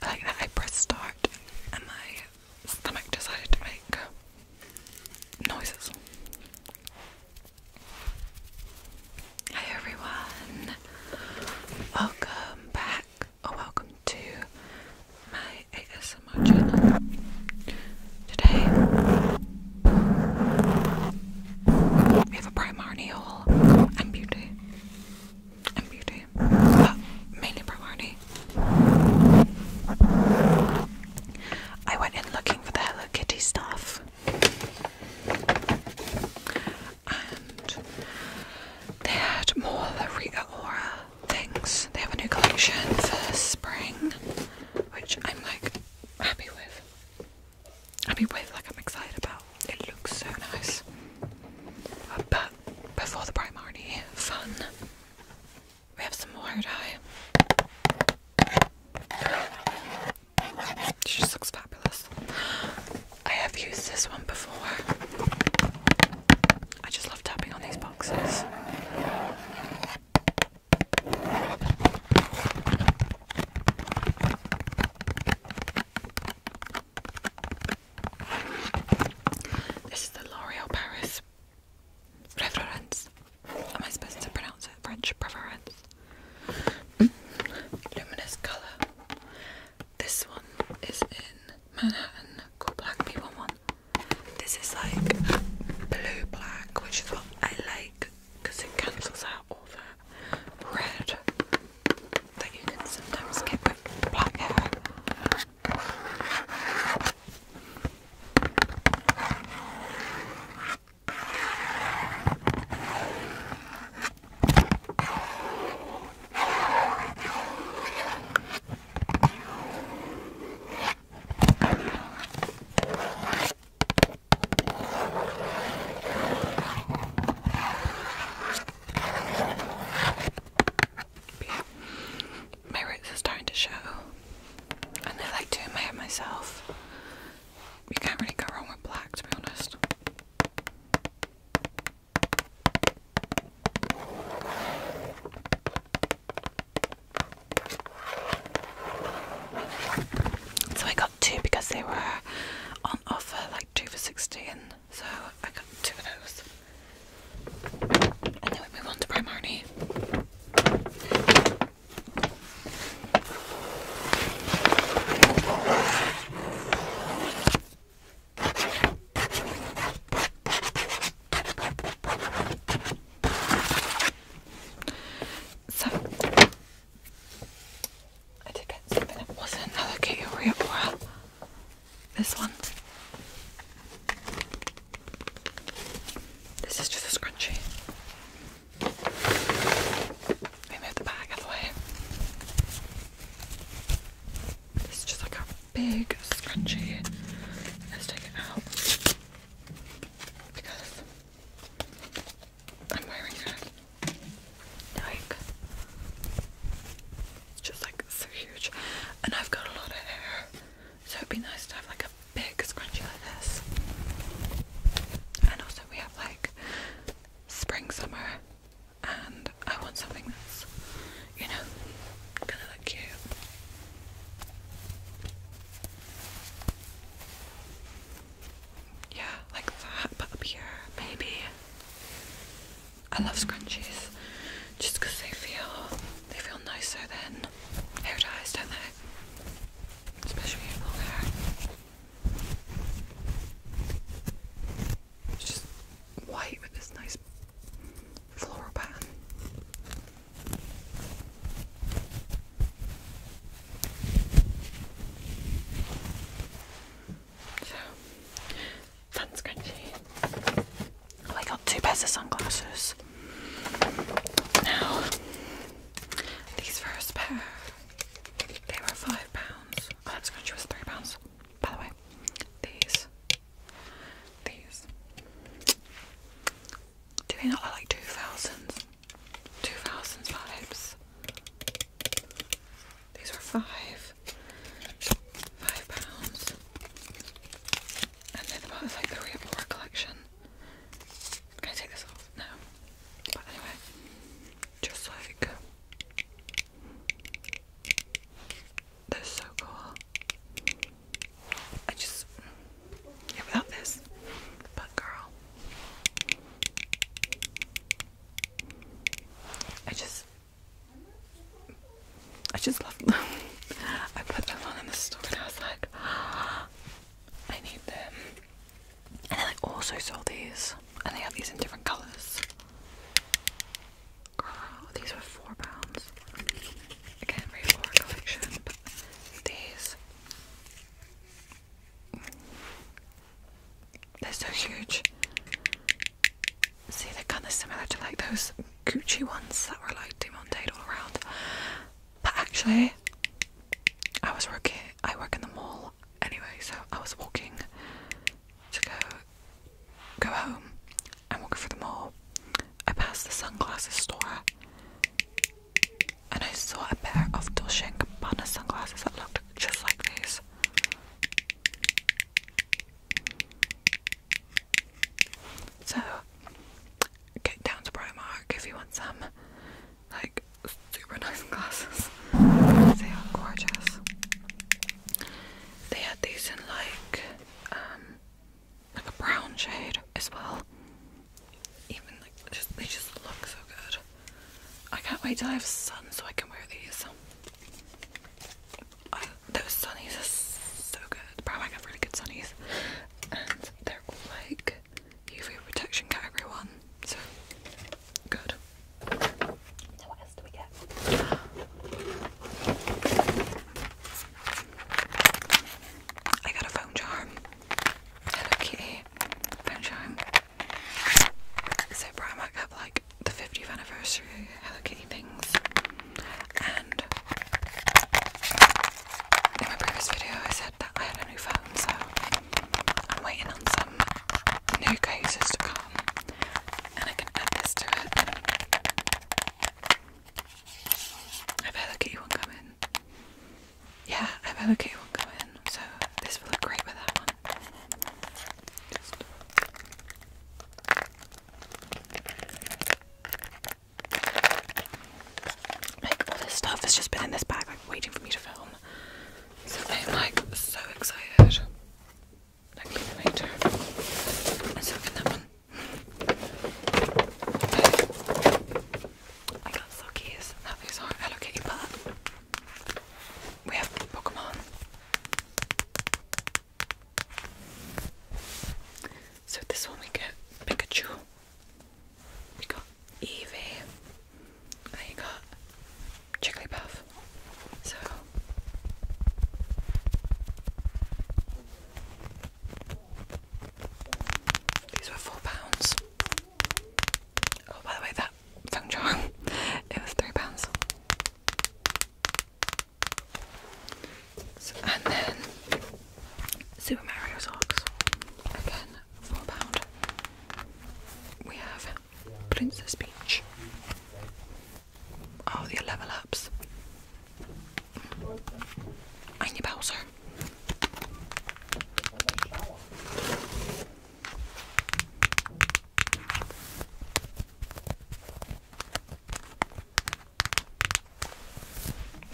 Like that, I pressed start and my stomach decided to make noises. Hey everyone, welcome back or welcome to my ASMR channel. Today we have a Primarni haul and beauty. And beauty. But uh, mainly Primarni. I went in looking for the Hello Kitty stuff. And they had more of the Rita Aura things. They have a new collection for spring, which I'm like happy with. I mean, with like I'm excited about. It looks so nice. Uh, but before the Primarni fun, we have some more dye. She just looks fabulous. I have used this one before. I just love tapping on these boxes. This is the L'Oreal Paris Preference. Am I supposed to pronounce it French? Preference. Mm. Luminous colour. This one is in Manhattan called Black P11. This is like blue black, which is what I like because it cancels out all the red that you can sometimes get with black hair my roots are starting to show, and I like doing my hair myself. You can't really go wrong with black, to be honest. So I got two because they were offer like two for sixteen, so I got two of those. And move on to Primarni. So I did get something. It wasn't another Kiyoria This one. This is just a scrunchie. Let me move the bag out of the way. This is just like a big scrunchie. Let's take it out because I'm wearing it. Like, it's just like so huge. And I've got a lot of hair. So it'd be nice to have like a big scrunchie like this. And also we have like spring, summer, and I want something that's, you know, gonna look cute. Yeah, like that, but up here, maybe. I love scrunchies just because they feel they feel nicer than hair ties, don't they? Especially long hair. It's just white with this nice floral pattern. So oh, I got two pairs of sunglasses. Now these first pair they were five pounds. Oh, going to was three pounds. By the way. These. These. Do we not like two thousands? Two thousands vibes. These are five, five pounds, and they're the most like the collection. Can I take this off? No. But anyway, just like they're so cool. I just yeah without this, but girl. I just I just love them. I put them on in the store and I was like ah, I need them. And then I also sold these. And they have these in different colours. Girl, these were four pounds. Again, very collection, these they're so huge. See, they're kind of similar to like those Gucci ones that were like demonted all around. But actually, I was working. I work in the mall anyway, so I was walking to go go home. I'm walking through the mall. I passed the sunglasses store, and I saw a pair of Dolce & Gabbana sunglasses that looked just like these. So, get down to Primark if you want some, like, super nice glasses. They are gorgeous. They had these in, like, um, like a brown shade as well. Even like, they just look so good. I can't wait till I have sun so I can wear these. those sunnies are so good. Brown I got really good sunnies. And they're like UV protection category one. So good. what else do we get? I got a phone charm. Hello Kitty. Phone charm. So Primark have like the 50th anniversary Hello Kitty things, and in my previous video I said that I had a new phone, so I'm waiting on some new cases to come, and I can add this to it. I've Hello Kitty one coming. Yeah, I've Hello Kitty one coming, so this will look great with that one. Just all this stuff has just been in this bag, like waiting for me to film. So I'm like so excited. Like even later. Let's look that one. I got sockies. Now these are Hello we have Pokemon. So this one we get Pikachu. We got Eevee. And you got Jigglypuff. So these were four pounds. Oh by the way that Sung Jong. It was three pounds. and then Super Mario socks. Again, four pound. We have Princess Peach. Oh, the level ups. And Bowser.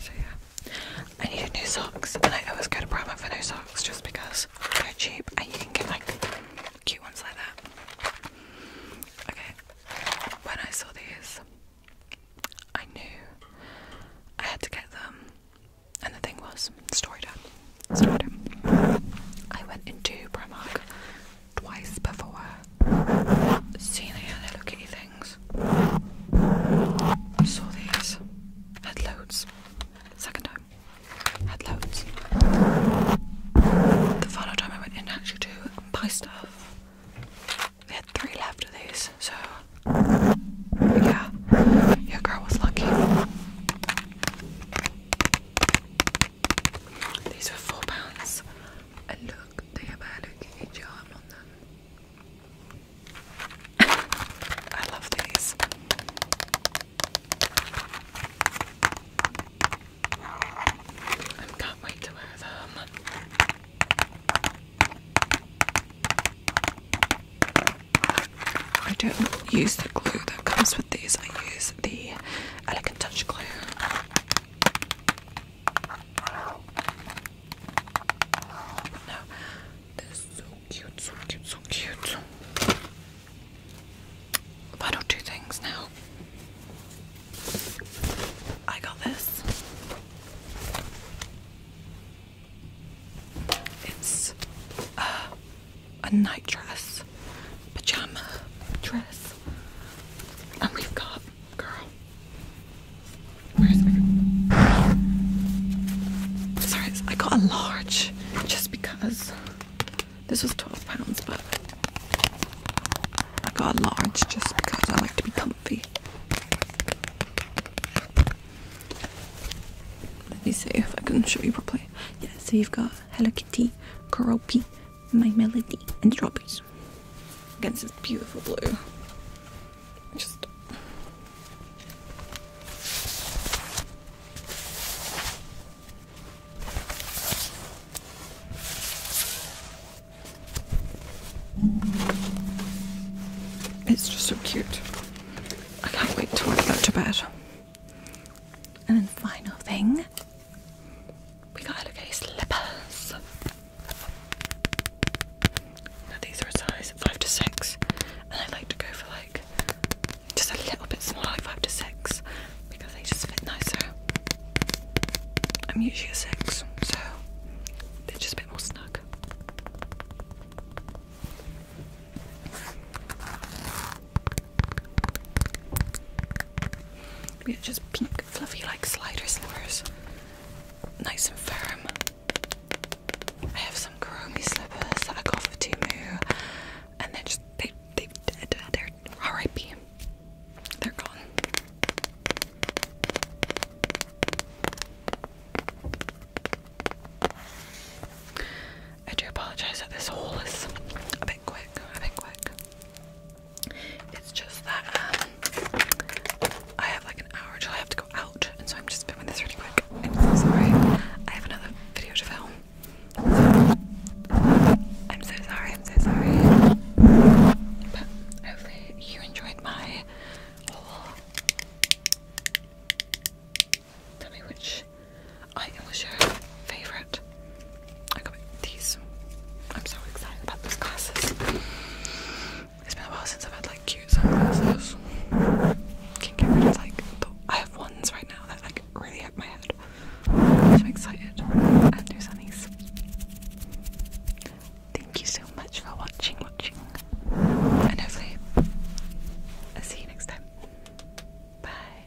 So yeah, I needed new socks, and I always go to Primark for new socks just because they're cheap and you can get like cute ones like that. Okay, when I saw these, I knew I had to get them, and the thing was, Story time. Story time. I went into Primark twice before, seeing the other Hello Kitty things. I saw these. Had loads. Second time. Had loads. The final time I went in actually to buy stuff. we had three left of these, so yeah, your girl was lucky. These are four pounds, and look, they have a little Kitty charm on them. I love these. I can't wait to wear them. I don't use the glue that comes with these. I use the very elegant touch glue. No, they're so cute, so cute, so cute. Final two things now. I got this. It's uh, a nightdress, pajama dress. And we've got, girl, where's my. Sorry, I got a large just because this was £12, but I got a large just because I like to be comfy. Let me see if I can show you properly. Yes, so you've got Hello Kitty, Karopi, My Melody, and Strawberries. Against this beautiful blue. Just. It's just so cute. I can't wait to I that to bed. And then, final thing we got Hello slippers. Now these are a size five to six, and I like to go for like just a little bit smaller, five to six, because they just fit nicer. I'm usually a six, so they're just a bit more snug. Yeah, just pink, fluffy like slider slippers. Nice and firm. I have some Karomi slippers that I got for Timu and they're just they they they're RIP. They're gone. I do apologize that this haul is a bit quick, a bit quick. It's just that um, I have like an hour until I have to go out, and so I'm just filming this really quick. I'm so sorry. I have another video to film. I'm so sorry, I'm so sorry. But hopefully, you enjoyed my haul. Tell me which I was your favorite. I got these. I'm so excited about these glasses. It's been a while since I've had like cute sunglasses. Can not get rid of like the, I have ones right now that like really hit my head. I'm excited. And there's Thank you so much for watching, watching. And hopefully i see you next time. Bye.